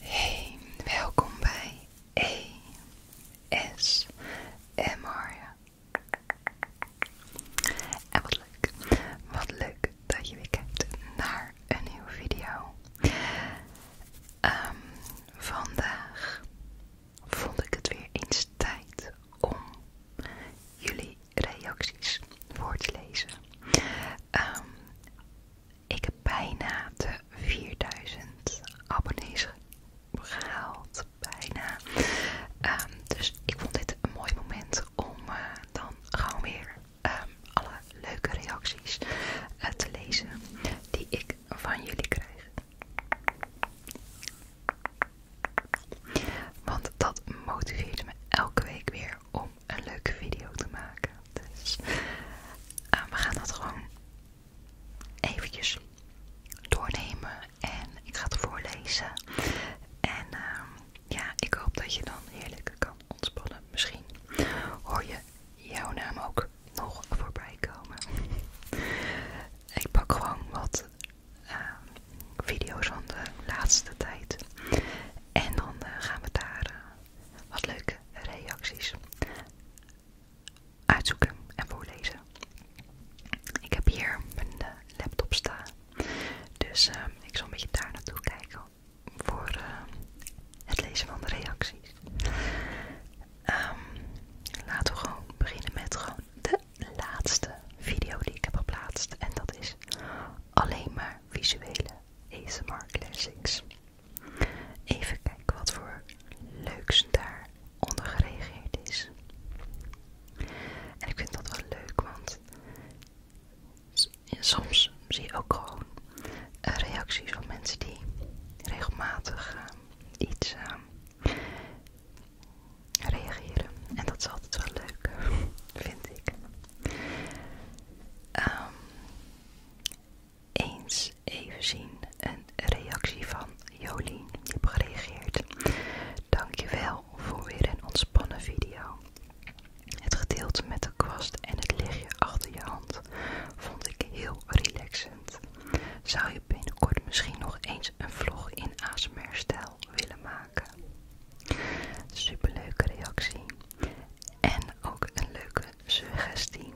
Hey, welkom bij E En wat leuk, wat leuk dat je weer kijkt naar een nieuwe video. Ehm, vandaag vond ik het weer eens tijd om jullie reacties voor te lezen. Ehm, ik heb bijna de 4000 abonnees gehaald. Bijna. Ehm, dus ik vond dit een mooi moment om eh, dan gewoon weer ehm, alle leuke reacties eh, te lezen die ik van jullie krijg. Want dat motiveert me elke week weer om een leuke video te maken. Dus eh, we gaan dat gewoon eventjes doornemen en ik ga het voorlezen. En ehm, ja, ik hoop dat je dan heerlijk kan ontspannen. Misschien hoor je jouw naam ook nog voorbij komen. Ik pak gewoon wat Ehm, video's van de laatste tijd. En dan eh, gaan we daar eh, wat leuke reacties uitzoeken en voorlezen. Ik heb hier mijn eh, laptop staan. Dus ehm, ik zal een beetje daar naartoe kijken voor het lezen van de reacties. Ehm, laten we gewoon beginnen met gewoon de laatste video die ik heb geplaatst. En dat is alleen maar visuele ASMR classics. Even kijken wat voor leuks daar onder gereageerd is. En ik vind dat wel leuk, want soms zie je ook gewoon reacties van mensen die regelmatig ehm, iets ehm, reageren. En dat is altijd wel leuk, vind ik. Ehm, eens even zien een reactie van Jolien. Die heb gereageerd. Dankjewel voor weer een ontspannen video. Het gedeelte met de kwast en het lichtje achter je hand vond ik heel relaxend. Zou je binnenkort misschien nog eens een vlog in asmr stellen? willen maken. Superleuke reactie. En ook een leuke suggestie.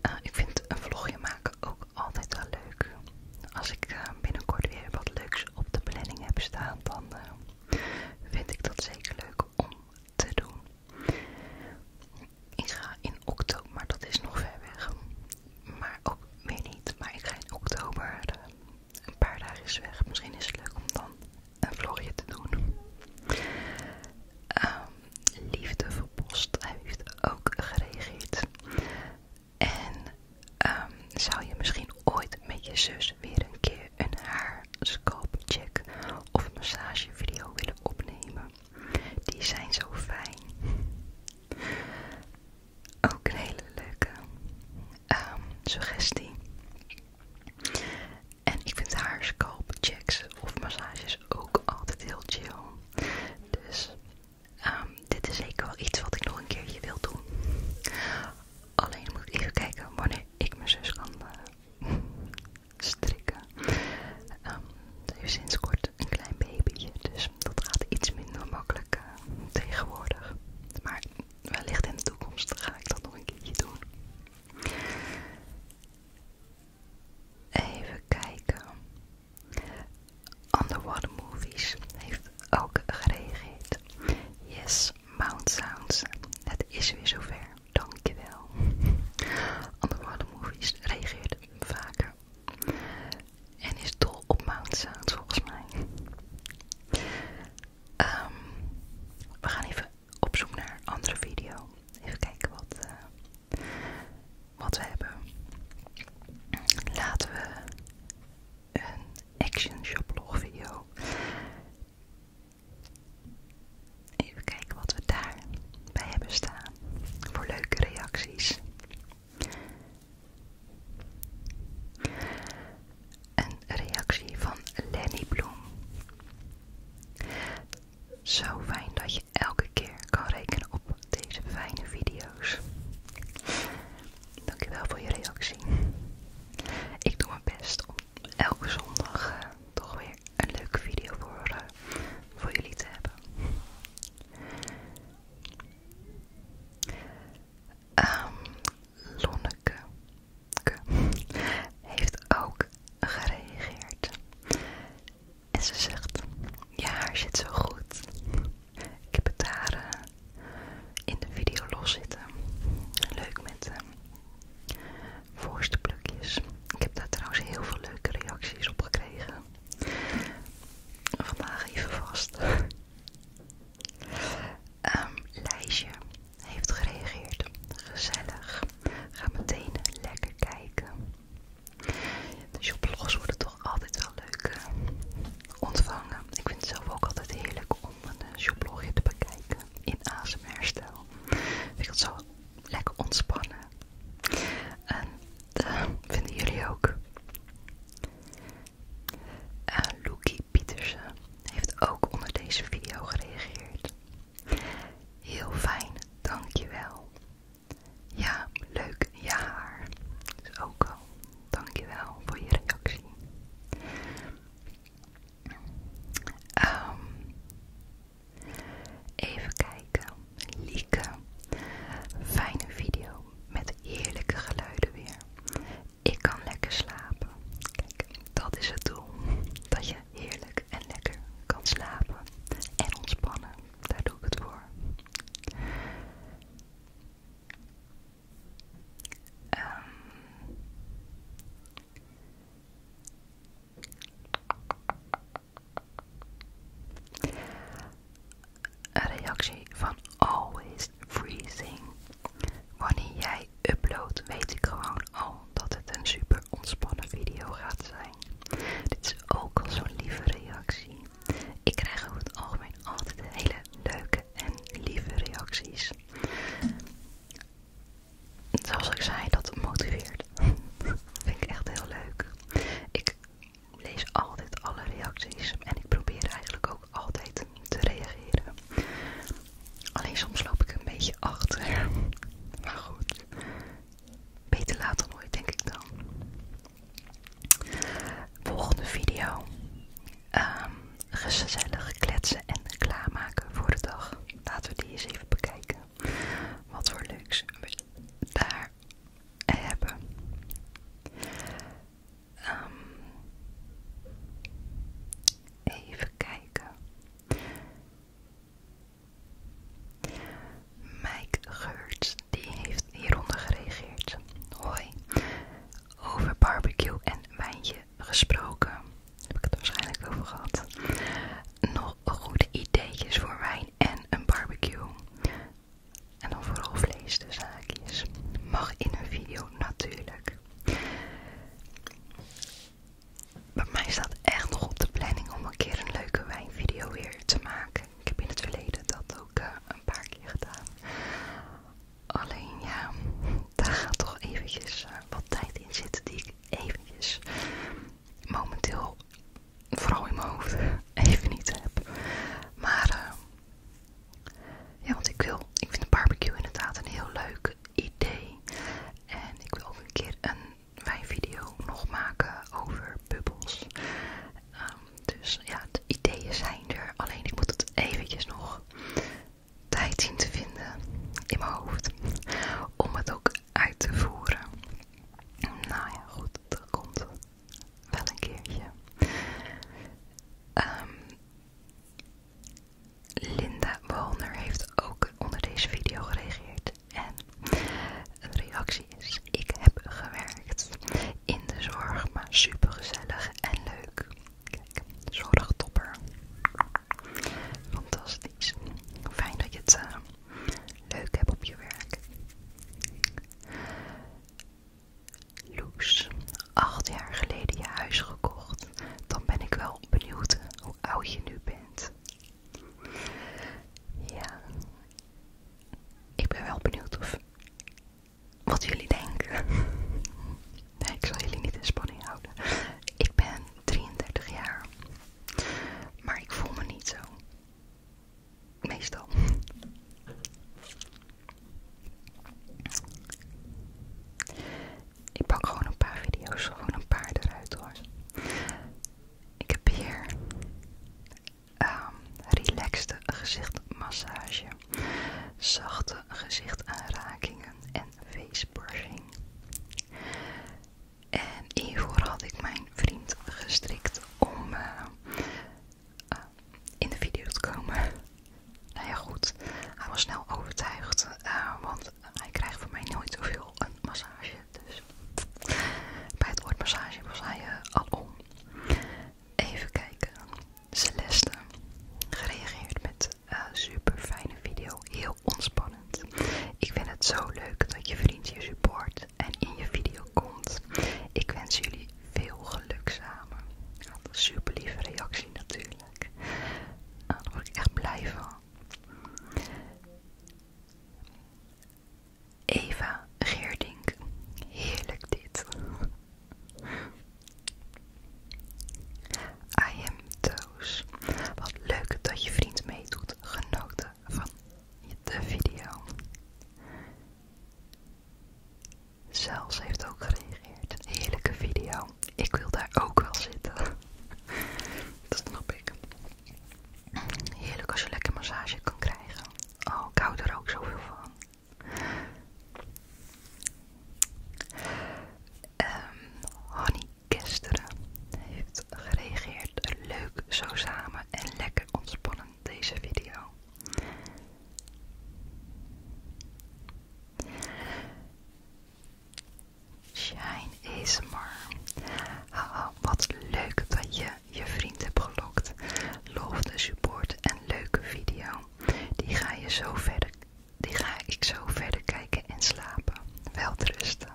Eh, ik vind een vlogje maken ook altijd wel leuk. Als ik eh, binnenkort weer wat leuks op de planning heb staan, dan eh, vind ik dat zeker leuk om te doen. Ik ga in oktober, maar dat is nog ver weg maar ook weer niet. Maar ik ga in oktober eh, een paar dagen weg. Misschien is het leuk om dan een vlogje te doen. Ehm, liefde voor Post heeft ook gereageerd. En ehm, zou je misschien ooit met je zus weer een keer een haar scalp check of video willen opnemen? Die zijn zo fijn. Ook een hele leuke ehm, suggestie. En ik vind haar scalp checks of massages ook altijd heel chill. Dus ehm, dit is zeker wel iets wat ik nog een keertje wil doen. Alleen moet ik even kijken wanneer ik mijn zus kan eh, strikken. Um, ehm, ze heeft sinds kort een klein babyje, dus dat gaat iets minder makkelijk. Eh, tegenwoordig. Maar wellicht in de toekomst ga ik dat nog een keertje doen. Even kijken. Underwater Movies heeft ook gereageerd. Yes, Mount Sounds. Het is weer zover. Dankjewel. Underwater Movies reageert vaker en is dol op Mount volgens mij. Ehm, we gaan even op zoek naar een andere video. Even kijken wat, eh, wat we hebben. Laten we een action shoplog video. Even kijken wat we daar bij hebben staan. Voor leuke reacties. Een reactie van Lenny Bloem. Zo fijn dat je elke keer kan rekenen op deze fijne video's. Dankjewel voor je reactie. Ik doe mijn best om elke zondag eh, toch weer een leuke video voor eh, jullie te hebben. Ehm, Lonneke heeft ook gereageerd. En ze zegt, je haar zit zo goed. Ik heb het daar eh, in de video los zitten. Leuk met uh, voorste plukjes. Ik heb daar trouwens heel veel leuke reacties op gekregen. Vandaag even vast. Um, heeft gereageerd. Gezellig. Ga meteen lekker kijken. De je worden toch altijd wel leuk eh, ontvangen. Ik vind het zelf ook altijd heerlijk om een eh, shoplogje te bekijken in ASMR-stijl. Vind het zo lekker ontspannen. En Vinden jullie ook? Uh, eh, Loekie Pietersen heeft ook onder deze video gereageerd. Heel fijn, dankjewel. Ja, leuk, ja haar. Dus ook al, dankjewel voor je reactie. Ehm, even kijken. Lieke. Fijne video met heerlijke geluiden weer. Ik kan lekker slapen. Kijk, dat is het doel. Dat je heerlijk en lekker kan slapen en ontspannen. Daar doe ik het voor. Ehm een reactie van Always Freezing. Wanneer jij upload, weet ik gewoon al dat het een super ontspannen video gaat zijn. Dit is ook al zo'n lieve reactie. Ik krijg over het algemeen altijd hele leuke en lieve reacties. Zoals ik zei, dat motiveert. Vind ik echt heel leuk. Ik lees altijd alle reacties en ik probeer eigenlijk ook altijd te reageren. Alleen soms loop ik een beetje achter. Maar goed, beter laat dan nooit, denk ik dan. Volgende video: ehm, gezellig kletsen en klaarmaken voor de dag. Laten we die eens even bekijken. Wat voor leuks daar hebben. Ehm, even kijken. Mike Geurt die heeft hieronder gereageerd. Hoi. Over barbecue en wijntje gesproken. Heb ik het waarschijnlijk over gehad. Nog goed ideetjes voor wijn en een barbecue en dan vooral vlees de zaakjes, mag in een video natuurlijk. Maar mij staat echt nog op de planning om een keer een leuke wijnvideo weer te maken. Ik heb in het verleden dat ook eh, een paar keer gedaan. Alleen ja, daar gaat toch eventjes eh, wat tijd in zitten die ik eventjes momenteel vooral in mijn hoofd even niet heb. Maar eh, ja, want ik wil, ik vind een barbecue inderdaad een heel leuk idee. En ik wil ook een keer een wijnvideo nog maken over bubbels. Ehm, dus ja, de ideeën zijn er. Alleen ik moet het eventjes nog tijd zien te vinden in mijn hoofd. Om het ook uit te voeren. Nou ja, goed, dat komt wel een keertje. Ehm, Linda Walner heeft ook onder deze video gereageerd. En de reactie is: Ik heb gewerkt in de zorg, maar super gezellig en leuk. Kijk, zorgtopper. Fantastisch. Fijn dat je het eh, leuk hebt op je werk. Loes, acht jaar geleden je huis gekocht. Dan ben ik wel benieuwd hoe oud je nu bent. Ja, ik ben wel benieuwd of wat jullie denken. Nee, ik zal jullie niet in spanning houden. Ik ben 33 jaar, maar ik voel me niet zo. Meestal. Ik pak gewoon een paar video's, gewoon een paar eruit hoor. Ik heb hier relaxed ehm, relaxte gezichtmassage, zachte gezichtaanrakingen en facebrushing. En hiervoor had ik mijn vriend gestrikt om eh, eh, in de video te komen. nou ja, goed. Hij was snel overtuigd, eh, want hij krijgt voor mij nooit zoveel een massage. Dus bij het woord massage was hij eh, al om. Even kijken. Celeste gereageerd met super fijne video. Heel ontspannend. Ik vind het zo leuk dat je vriend je support en in je video komt. Ik wens jullie veel geluk samen. een super lieve reactie natuurlijk. Nou, daar word ik echt blij van. Eva Geerdink. Heerlijk dit. I am Toos. Wat leuk dat je vriend meedoet. Genoten van de video. Zelfs heeft ook gereageerd. Heerlijke video. Ik wil daar ook wel zitten. Dat snap ik. Heerlijk als je lekker massage kan krijgen. Oh, ik hou er ook zoveel van. Um, Honey heeft gereageerd. Leuk zo samen en lekker ontspannen deze video. Shine ASMR. Oh wat leuk dat je je vriend hebt gelokt. Loof de support en leuke video. Die ga, je zo verder, die ga ik zo verder kijken en slapen. Welterusten.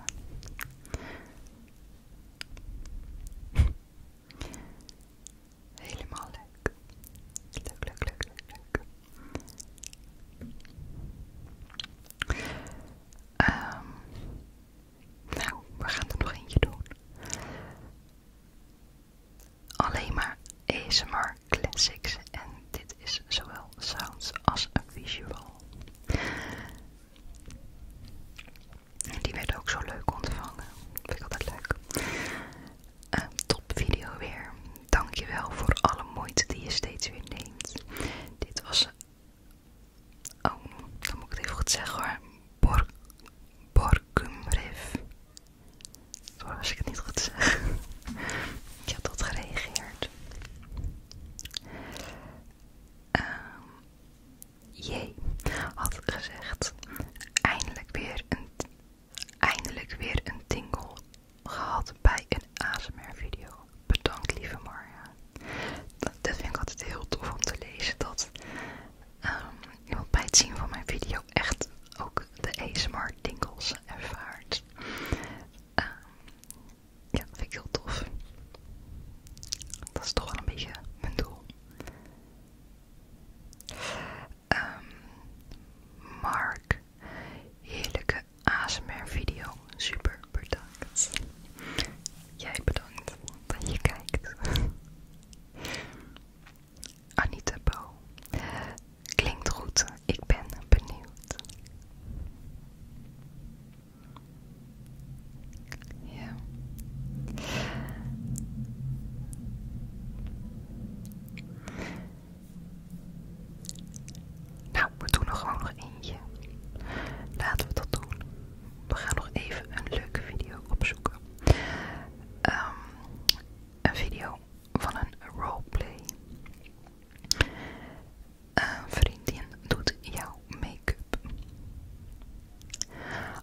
Helemaal leuk. Leuk, leuk, leuk, leuk, leuk. Ehm, nou, we gaan er nog eentje doen. Alleen maar ASMR Classics. En dit is zowel sounds als visual. Die werd ook zo leuk ontvangen. Vind ik altijd leuk. top video weer. Dankjewel voor alle moeite die je steeds weer neemt. Dit was. Oh, dan moet ik het even goed zeggen hoor. Bor Borkumrif. Sorry als ik het niet goed zeg. ik heb tot gereageerd. Ehm Jee, had gezegd: eindelijk weer een, eindelijk weer een tingel gehad bij een ASMR-video. Bedankt, lieve Marja. Dat, vind ik altijd heel tof om te lezen. Dat ehm, iemand bij het zien van mijn video echt ook de ASMR-tingles ervaart. Ehm, ja, vind ik heel tof. Dat is toch wel een beetje mijn doel. Ehm, Mark, heerlijke ASMR video, super bedankt. Jij bedankt dat je kijkt. Anita Bo, klinkt goed, ik ben benieuwd. Ja. Nou, we doen er gewoon nog eentje. Laten we dat doen. We gaan nog even een leuke video opzoeken. Ehm, een video van een roleplay. Een vriendin doet jou make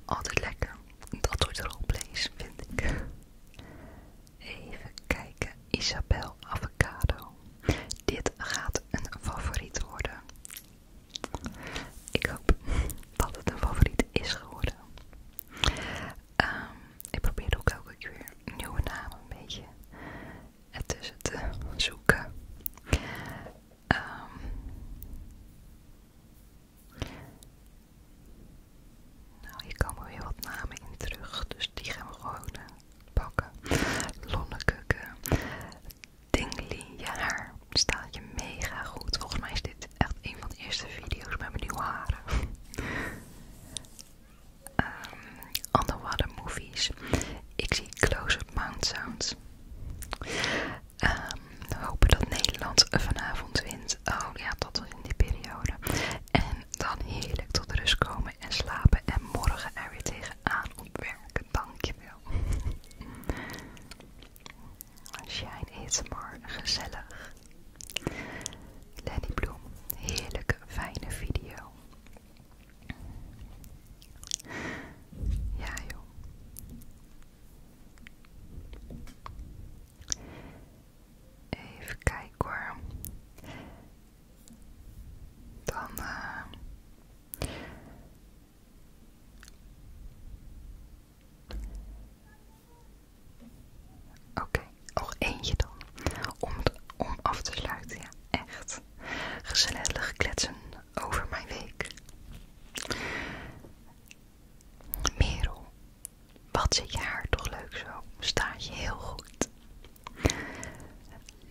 Altijd lekker. Dat wordt roleplays, vind ik. Even kijken. Isabel Avocado. Dit gaat een favoriet worden. Ik hoop dat het een favoriet is geworden. Ehm, ik probeer ook elke keer een nieuwe namen een beetje ertussen te zoeken. Ehm nou, hier komen weer wat namen in terug, dus die gaan we gewoon eh, pakken. Lonnekukken, Dingli, ja haar staat je mega goed. Volgens mij is dit echt een van de eerste video's met mijn nieuwe haren. um, ehm, underwater movies. Ik zie Close Up Mount Sounds. Um, hopen dat Nederland vanavond wint. Oh ja, tot in die periode. En dan heerlijk tot rust komen en slapen. En morgen er weer tegenaan op werken. Dankjewel. Shine maar gezellig. Lenny Bloem, heerlijke, fijne video. Ja joh. Even kijken hoor. Dan. Uh... Oké, okay. nog eentje dan. Om, om af te sluiten, ja, echt. Gezellig kletsen over mijn week. Merel, wat zit je haar toch leuk zo? Staat je heel goed.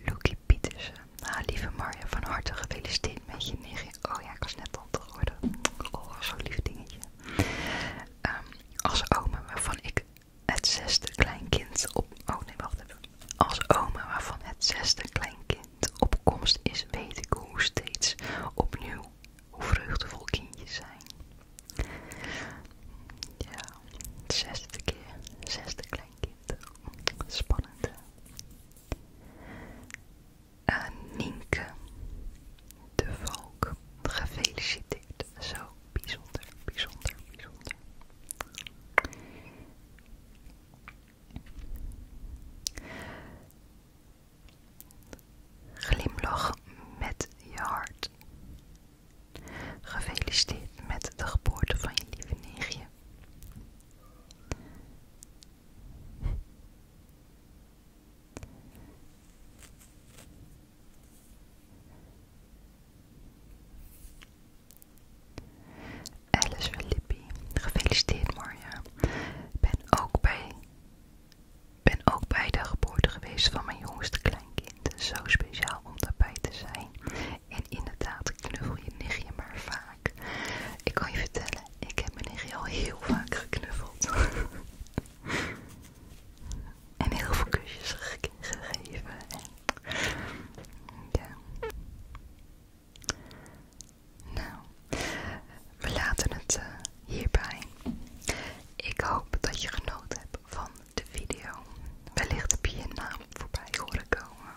Lucky Pietersen, nou, lieve Marja, van harte gefeliciteerd met je negen. Oh ja, ik was net tante geworden. Oh, zo'n lief dingetje. Ehm, als oma waarvan ik het zesde kleinkind op... Oh nee, wacht even. Als oma waarvan het zesde kleinkind de opkomst is, weet ik hoe steeds opnieuw hoe vreugdevol kindjes zijn. Ja, zesde keer, zesde kleinkind. Spannend. Uh, Nienke de Valk, gefeliciteerd. Zo bijzonder, bijzonder, bijzonder. Glimlach met je hart. Gefeliciteerd met de geboorte van je lieve Alice Filippi. Gefeliciteerd Marja. Ik ben ook bij, ben ook bij de geboorte geweest van mijn jongste kleinkind. Zo speciaal om daarbij te zijn. En inderdaad, knuffel je nichtje maar vaak. Ik kan je vertellen, ik heb mijn nichtje al heel vaak geknuffeld. en heel veel kusjes gegeven. ja. Nou, we laten het eh, hierbij. Ik hoop dat je genoten hebt van de video. Wellicht heb je je naam voorbij horen komen.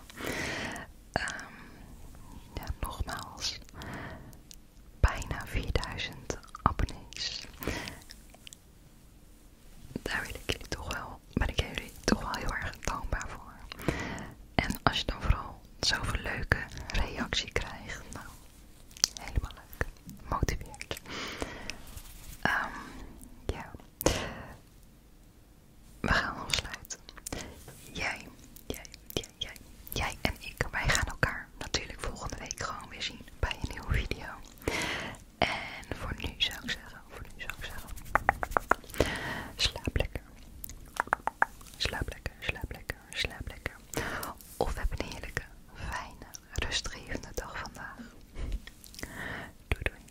Ehm, nogmaals, bijna 4000 abonnees. Daar wil ik jullie toch wel, ben ik jullie toch wel heel erg dankbaar voor. En als je dan vooral zoveel leuke reactie krijg. Nou, helemaal leuk. gemotiveerd. Ehm ja. We gaan afsluiten. jij, jij, jij, jij en ik. Wij gaan elkaar natuurlijk volgende week gewoon weer zien bij een nieuwe video. En voor nu zou ik zeggen, voor nu zou ik zeggen, slaap lekker. Slaap lekker, slaap lekker, slaap lekker. Of heb een heerlijke, fijne, rustgevende dag vandaag. Doei doei.